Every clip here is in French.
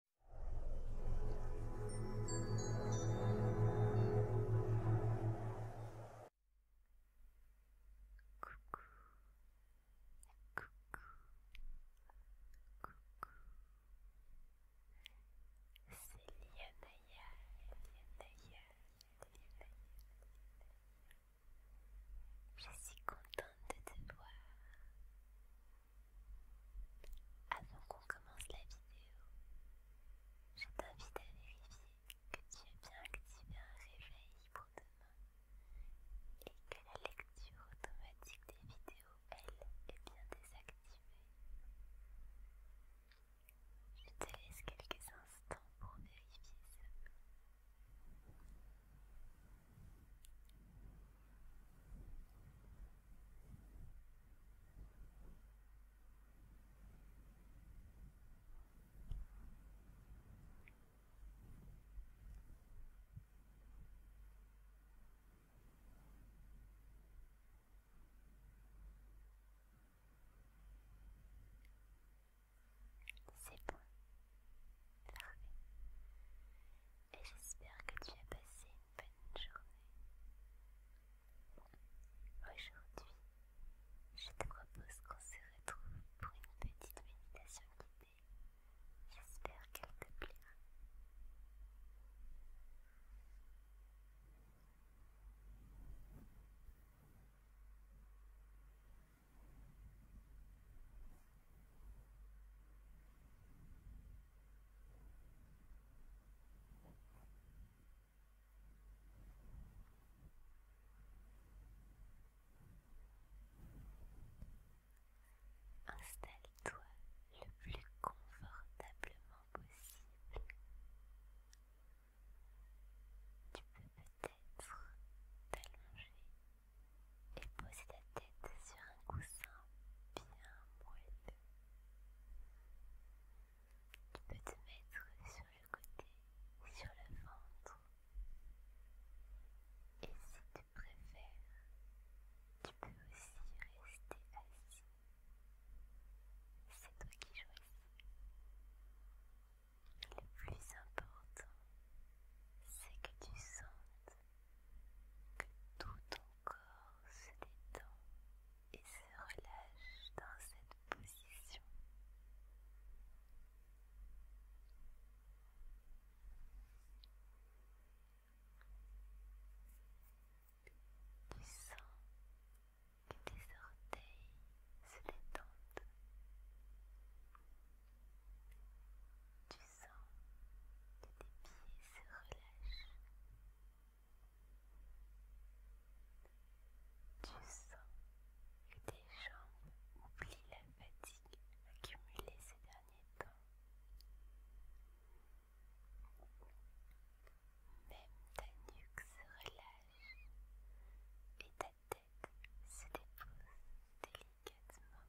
Coucou, coucou, coucou. C'est Je suis contente de te voir. Avant qu'on commence la vidéo, je t'invite à vérifier que tu as bien activé un réveil pour demain et que la lecture automatique des vidéos, elle, est bien désactivée. Je te laisse quelques instants pour vérifier ça. C'est bon. Parfait et j'espère que tu as passé une bonne journée. Aujourd'hui, je te propose qu'on se retrouve pour une petite méditation guidée. J'espère qu'elle te plaira. Installe-toi le plus confortablement possible. Tu peux peut-être t'allonger et pose ta tête sur un coussin bien moelleux. Tu peux te mettre sur le côté, sur le ventre. Et si tu préfères, tu peux aussi rester assis. C'est toi qui choisis. Le plus important, c'est que tu sentes que tout ton corps se détend et se relâche dans cette position. Tu sens que tes orteils se détendent sens que tes pieds se relâchent, Tu sens que tes jambes oublient la fatigue accumulée ces derniers temps. Même ta nuque se relâche et ta tête se dépose délicatement.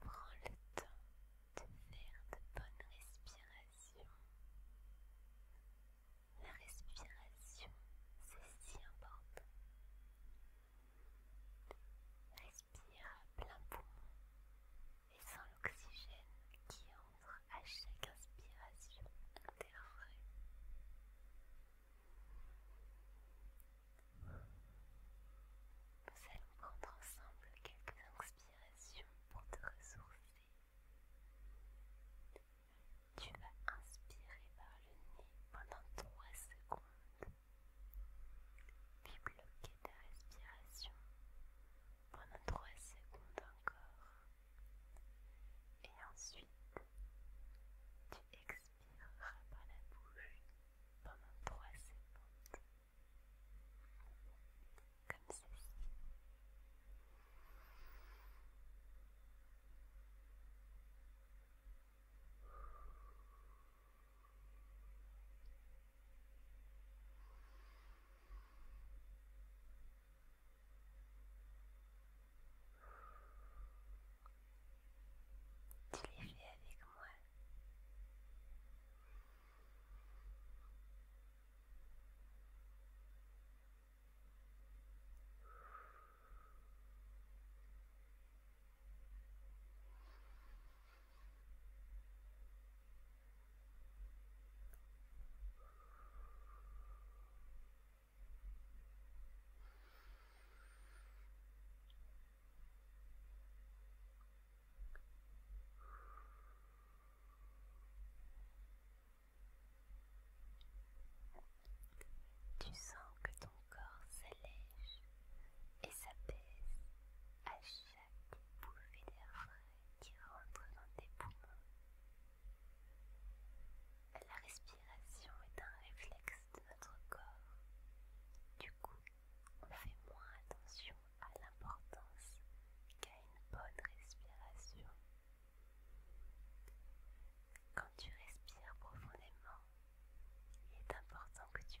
Prends le temps de faire de bonnes respirations. La respiration, c'est si important. Respire à plein point et sans l'oxygène qui entre à chaque inspiration dérangerait. Nous allons prendre ensemble quelques inspirations pour te ressourcer. Tu vas inspirer par le nez pendant 3 secondes, puis bloquer ta respiration pendant 3 secondes encore. Et ensuite, tu expireras par la bouche pendant 3 secondes. Comme ceci. Tu les avec moi. Tu sens que ton corps s'allège et s'apaise à chaque pour frais qui dans tes poumons. La respiration est un réflexe de notre corps. Du coup, on fait moins attention à l'importance qu'à une bonne respiration. Quand tu respires profondément, il est important que tu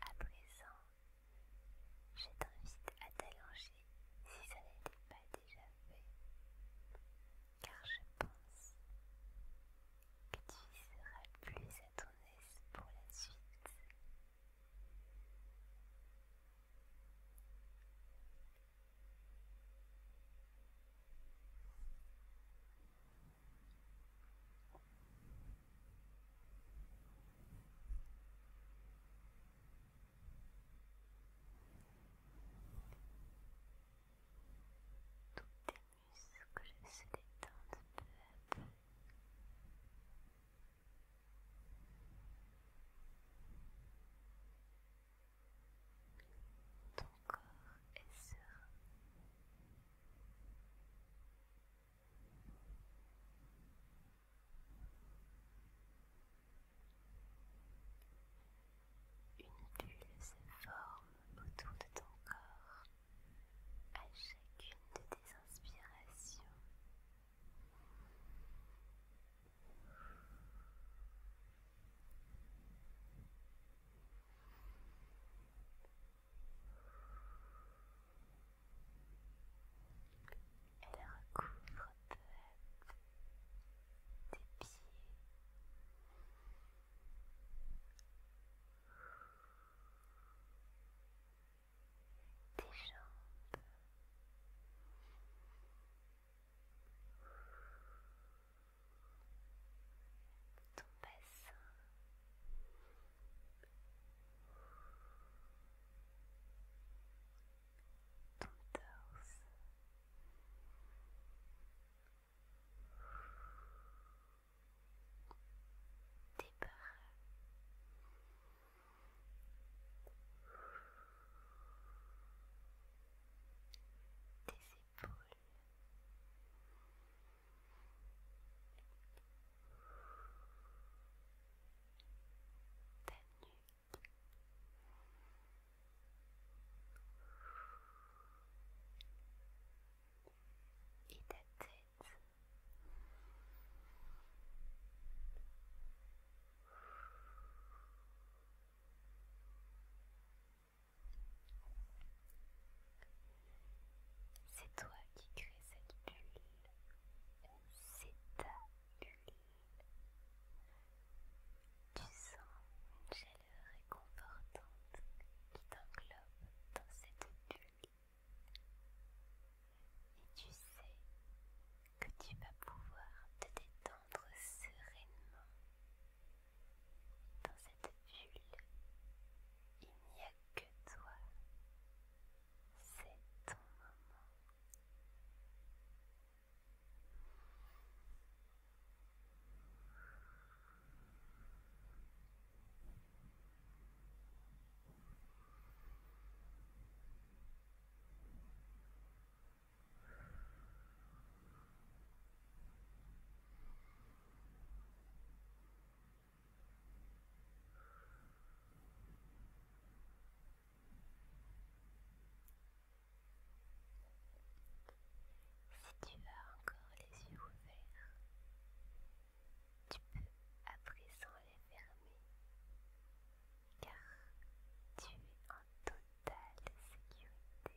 À présent, je t'invite à t'allonger si ça n'était pas déjà fait, car je pense que tu y seras plus à ton aise pour la suite. Toutes les muscles que détendent peu à peu. Ton corps est serein. Une bulle se forme autour de ton corps à chacune de tes inspirations. Elle recouvre peu tes pieds tes jambes. Ton bassin, ton torse, tes peurs. Des épaules, ta nuque, et ta tête. C'est toi qui crée cette bulle, c'est ta bulle. Tu sens une chaleur réconfortante qui t'englobe dans cette bulle. Et tu sais que tu vas pouvoir te détendre sereinement. Dans cette bulle, il n'y a que toi. C'est ton moment. Si tu as encore les yeux ouverts, tu peux à présent les fermer car tu es en totale sécurité.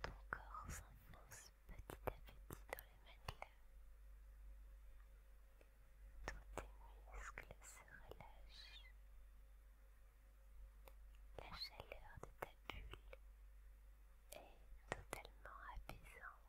Ton corps s'enfonce petit à petit dans le matelas. Tous tes muscles se relâchent. La chaleur de ta bulle est totalement apaisante.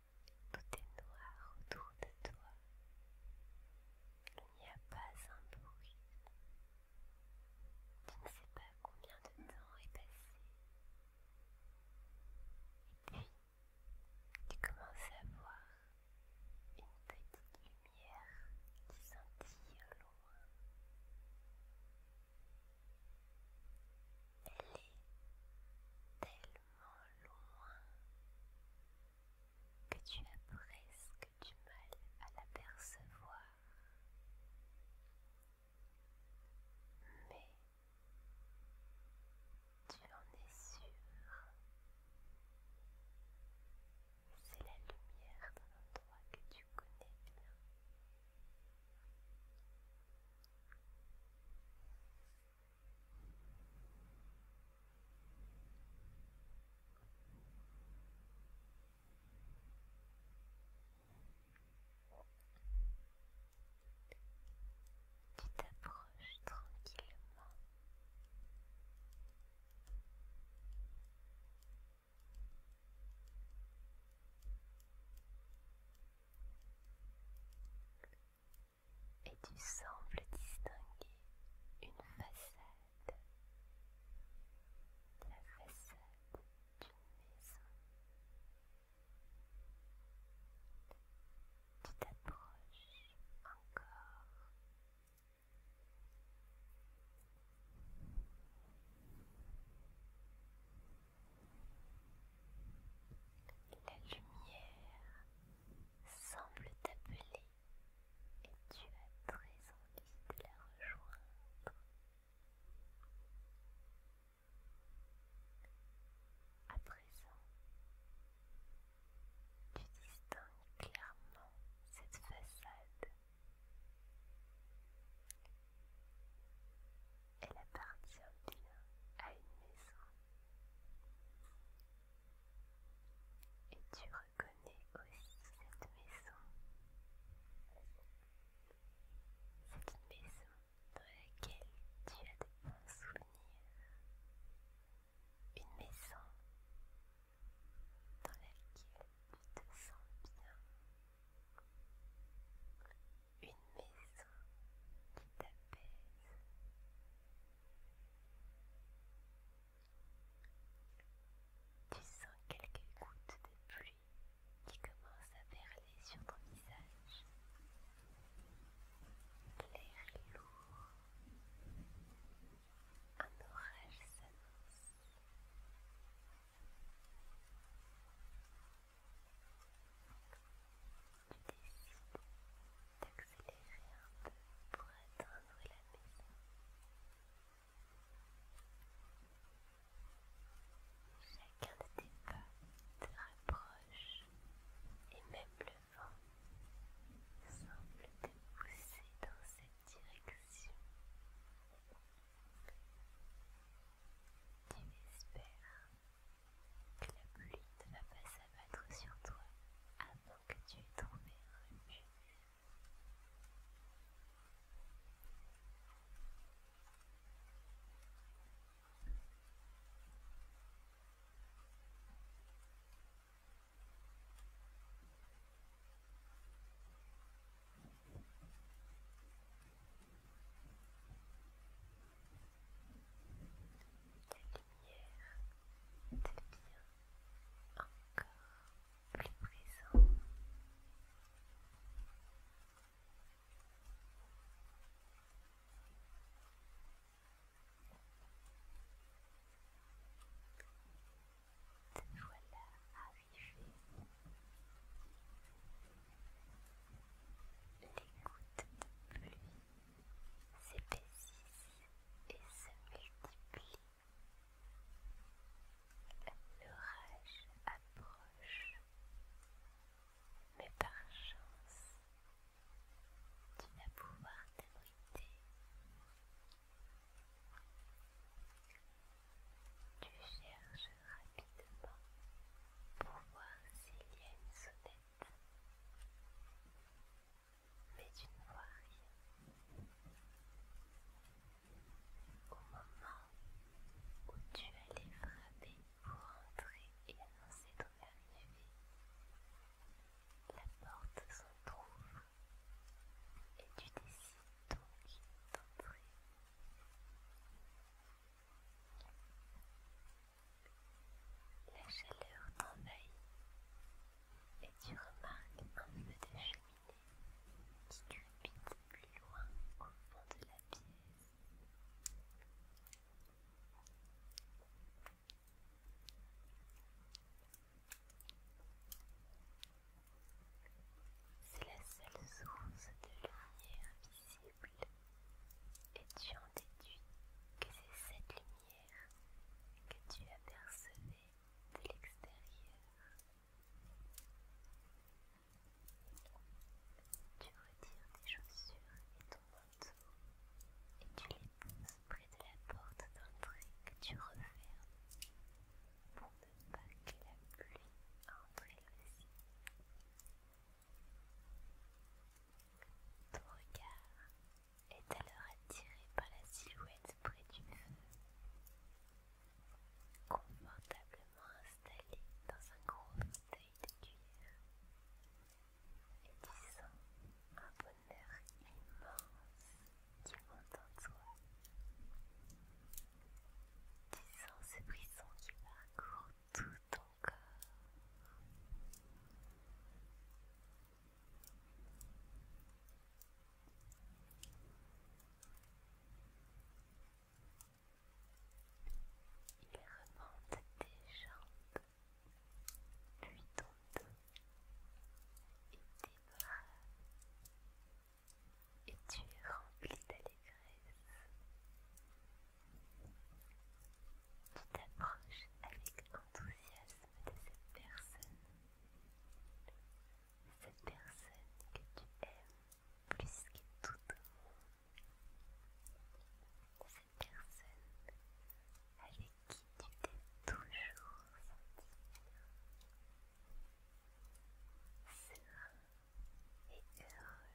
Tout est noir autour de toi. Il n'y a pas un bruit. Tu ne sais pas combien de temps est passé. Et puis, tu commences à voir une petite lumière qui scintille loin. Elle est telle loin que tu as presque du mal à l'apercevoir. Mais tu en es sûr. C'est la lumière d'un endroit que tu connais bien qui t'approche tranquillement et tu sembles distinguer une façade, la façade d'une maison. Tu t'approches encore. La lumière semble t'appeler et tu as très envie de la rejoindre. À présent, tu distingues clairement cette façade. Elle appartient bien à une maison. Et tu reconnais aussi cette maison. C'est une maison dans laquelle tu as des bons souvenirs. Une maison dans laquelle tu te sens bien une maison qui t'apaise. Tu sens quelques gouttes de pluie qui commencent à perler sur ton visage. clair et lourd. Un orage s'annonce tu décides d'accélérer un peu pour atteindre la maison. Chacun de tes pas te rapproche et même le vent semble te pousser dans cette direction. Tu espères la pluie ne va pas s'abattre sur toi avant que tu aies tombé lumière devient encore plus présente. Te voilà arrivé les gouttes de pluie s'épaississent et se multiplient. L'orage approche, mais par chance, tu vas pouvoir t'abriter. Tu chercheras bas pour voir s'il y a une sonnette, mais tu ne vois rien. Au moment où tu allais frapper pour entrer et annoncer ton arrivée, la porte trouve et tu décides donc d'entrer. La chaleur t'envahit et tu remarques un peu de cheminée qui crépite plus loin au fond de la pièce. C'est la seule source de lumière et tu en déduis que c'est cette lumière que tu apercevais de l'extérieur. Tu retires tes chaussures et ton manteau et tu les poses près de la porte d'entrée que tu refermes pour ne pas que la pluie entre elle aussi. Ton regard est alors attiré par la silhouette près du feu, confortablement installée dans un gros fauteuil de cuillère et tu sens un bonheur immense qui monte en toi. Tu sens ce brisson qui parcourt tout ton corps. Il remonte tes jambes, puis ton dos et tes bras et tu es rempli d'allégresse. Tu t'approches avec enthousiasme de cette personne, cette personne que tu aimes plus que tout cette personne avec qui tu t'es toujours senti et heureux.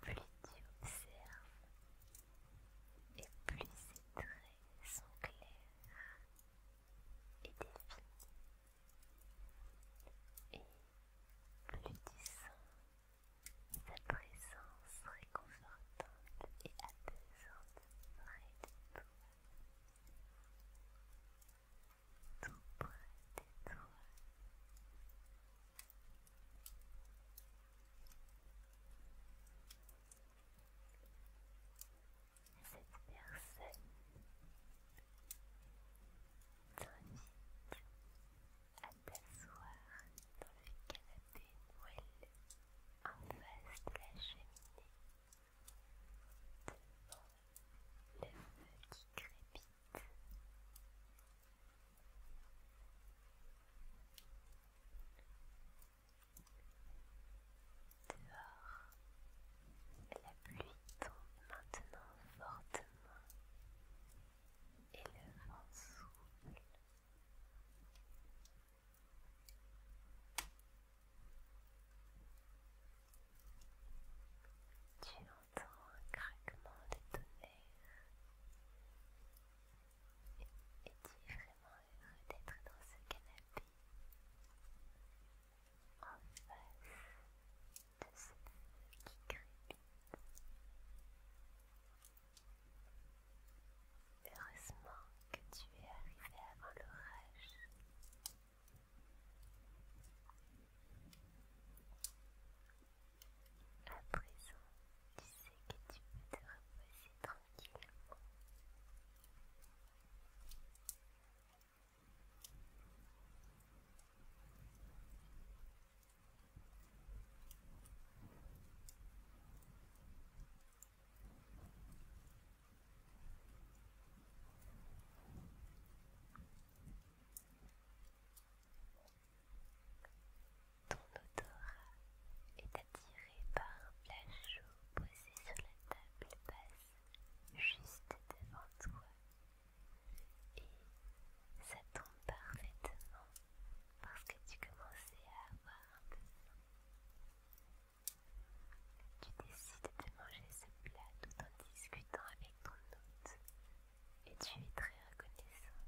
Plus tu observes et plus ses traits sont clairs et définis. Et plus tu sens sa présence réconfortante et apaisante près de toi tout près de toi. Cette personne t'invite à t'asseoir dans le canapé moelleux en face de la cheminée le Dehors, la pluie tombe maintenant fortement et le vent souffle. Tu entends un craquement de tonnerre et tu es vraiment heureux d'être dans ce canapé en face de cette qui crépite. Heureusement que tu es arrivé avant l'orage. À présent, tu sais que tu peux te reposer tranquillement. Ton odorat est attiré par la plat posée sur la table basse juste devant toi et ça tombe parfaitement parce que tu commençais à avoir un peu tu décides de manger ce plat tout en discutant avec ton hôte, et tu es très reconnaissant.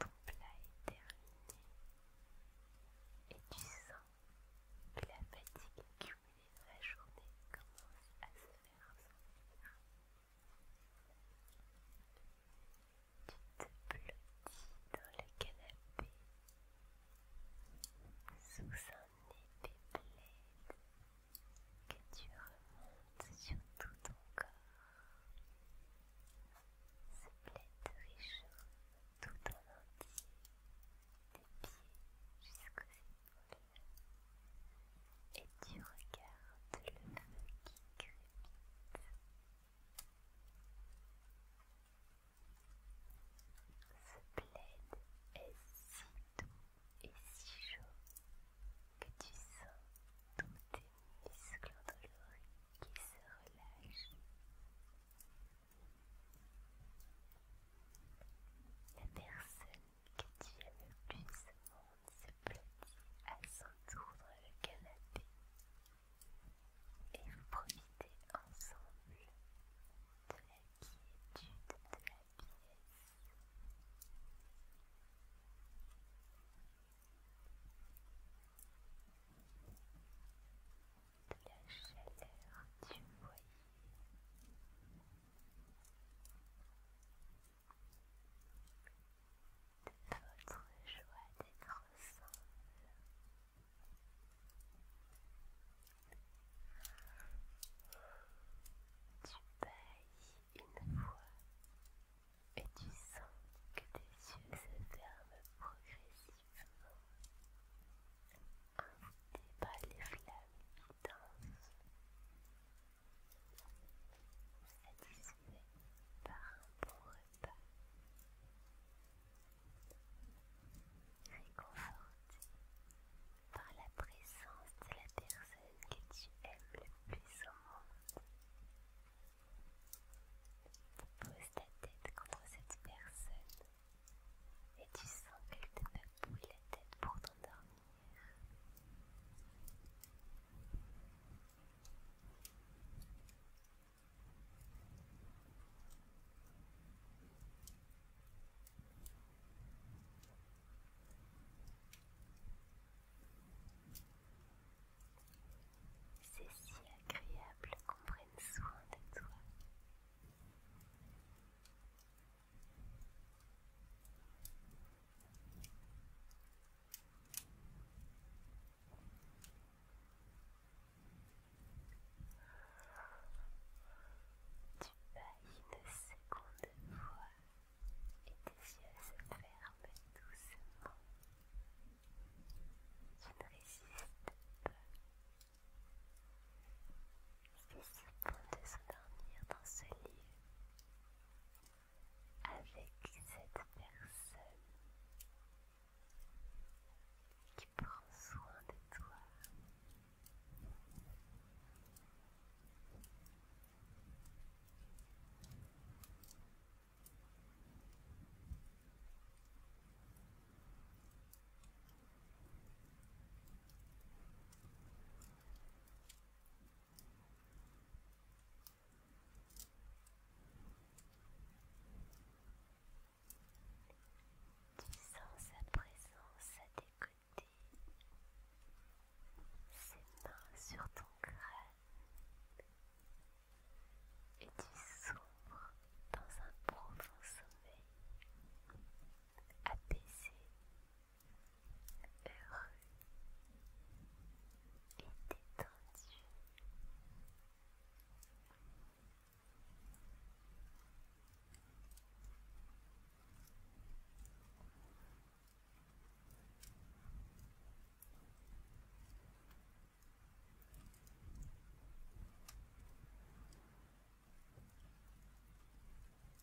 Ton plat est terminé et tu sens que la fatigue accumulée dans la journée commence à se faire sentir. Tu te plottis dans le canapé sous un épais plaid que tu remontes sur tout ton corps. Ce plaid réchauffe tout en entier, des pieds jusqu'aux épaules et tu regardes le feu qui crépite. Ce plaid est si doux et si chaud que tu sens tous tes muscles l'oreille qui se relâchent. La personne Ketty le monde se blottit à s'entourer le canapé et vous profitez ensemble de la quiétude de la pièce. De la chaleur du foyer de votre joie d'être ensemble. Tu bailles une fois et tu sens que tes yeux se ferment progressivement, invités par les flammes qui dansent satisfait par un bon repas, réconforté par la présence de la personne que tu aimes le plus au monde. Pose ta tête contre cette personne et tu sens qu'elle te papouille la tête pour t'endormir. C'est si agréable qu'on prenne soin de toi. Tu de une seconde fois et tes yeux se ferment doucement. Tu ne résistes pas. Il fut bon de s'endormir dans ce lieu, avec cette personne qui prend soin de toi. Tu sens sa présence à tes côtés, ses mains sur ton crâne, et tu sombres dans un profond sommeil apaisé heureux et détendu.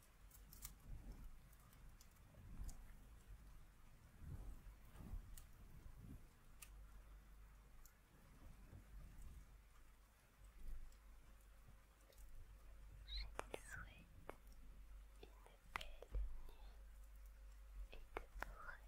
Je te souhaite une belle nuit et de beaux rêves.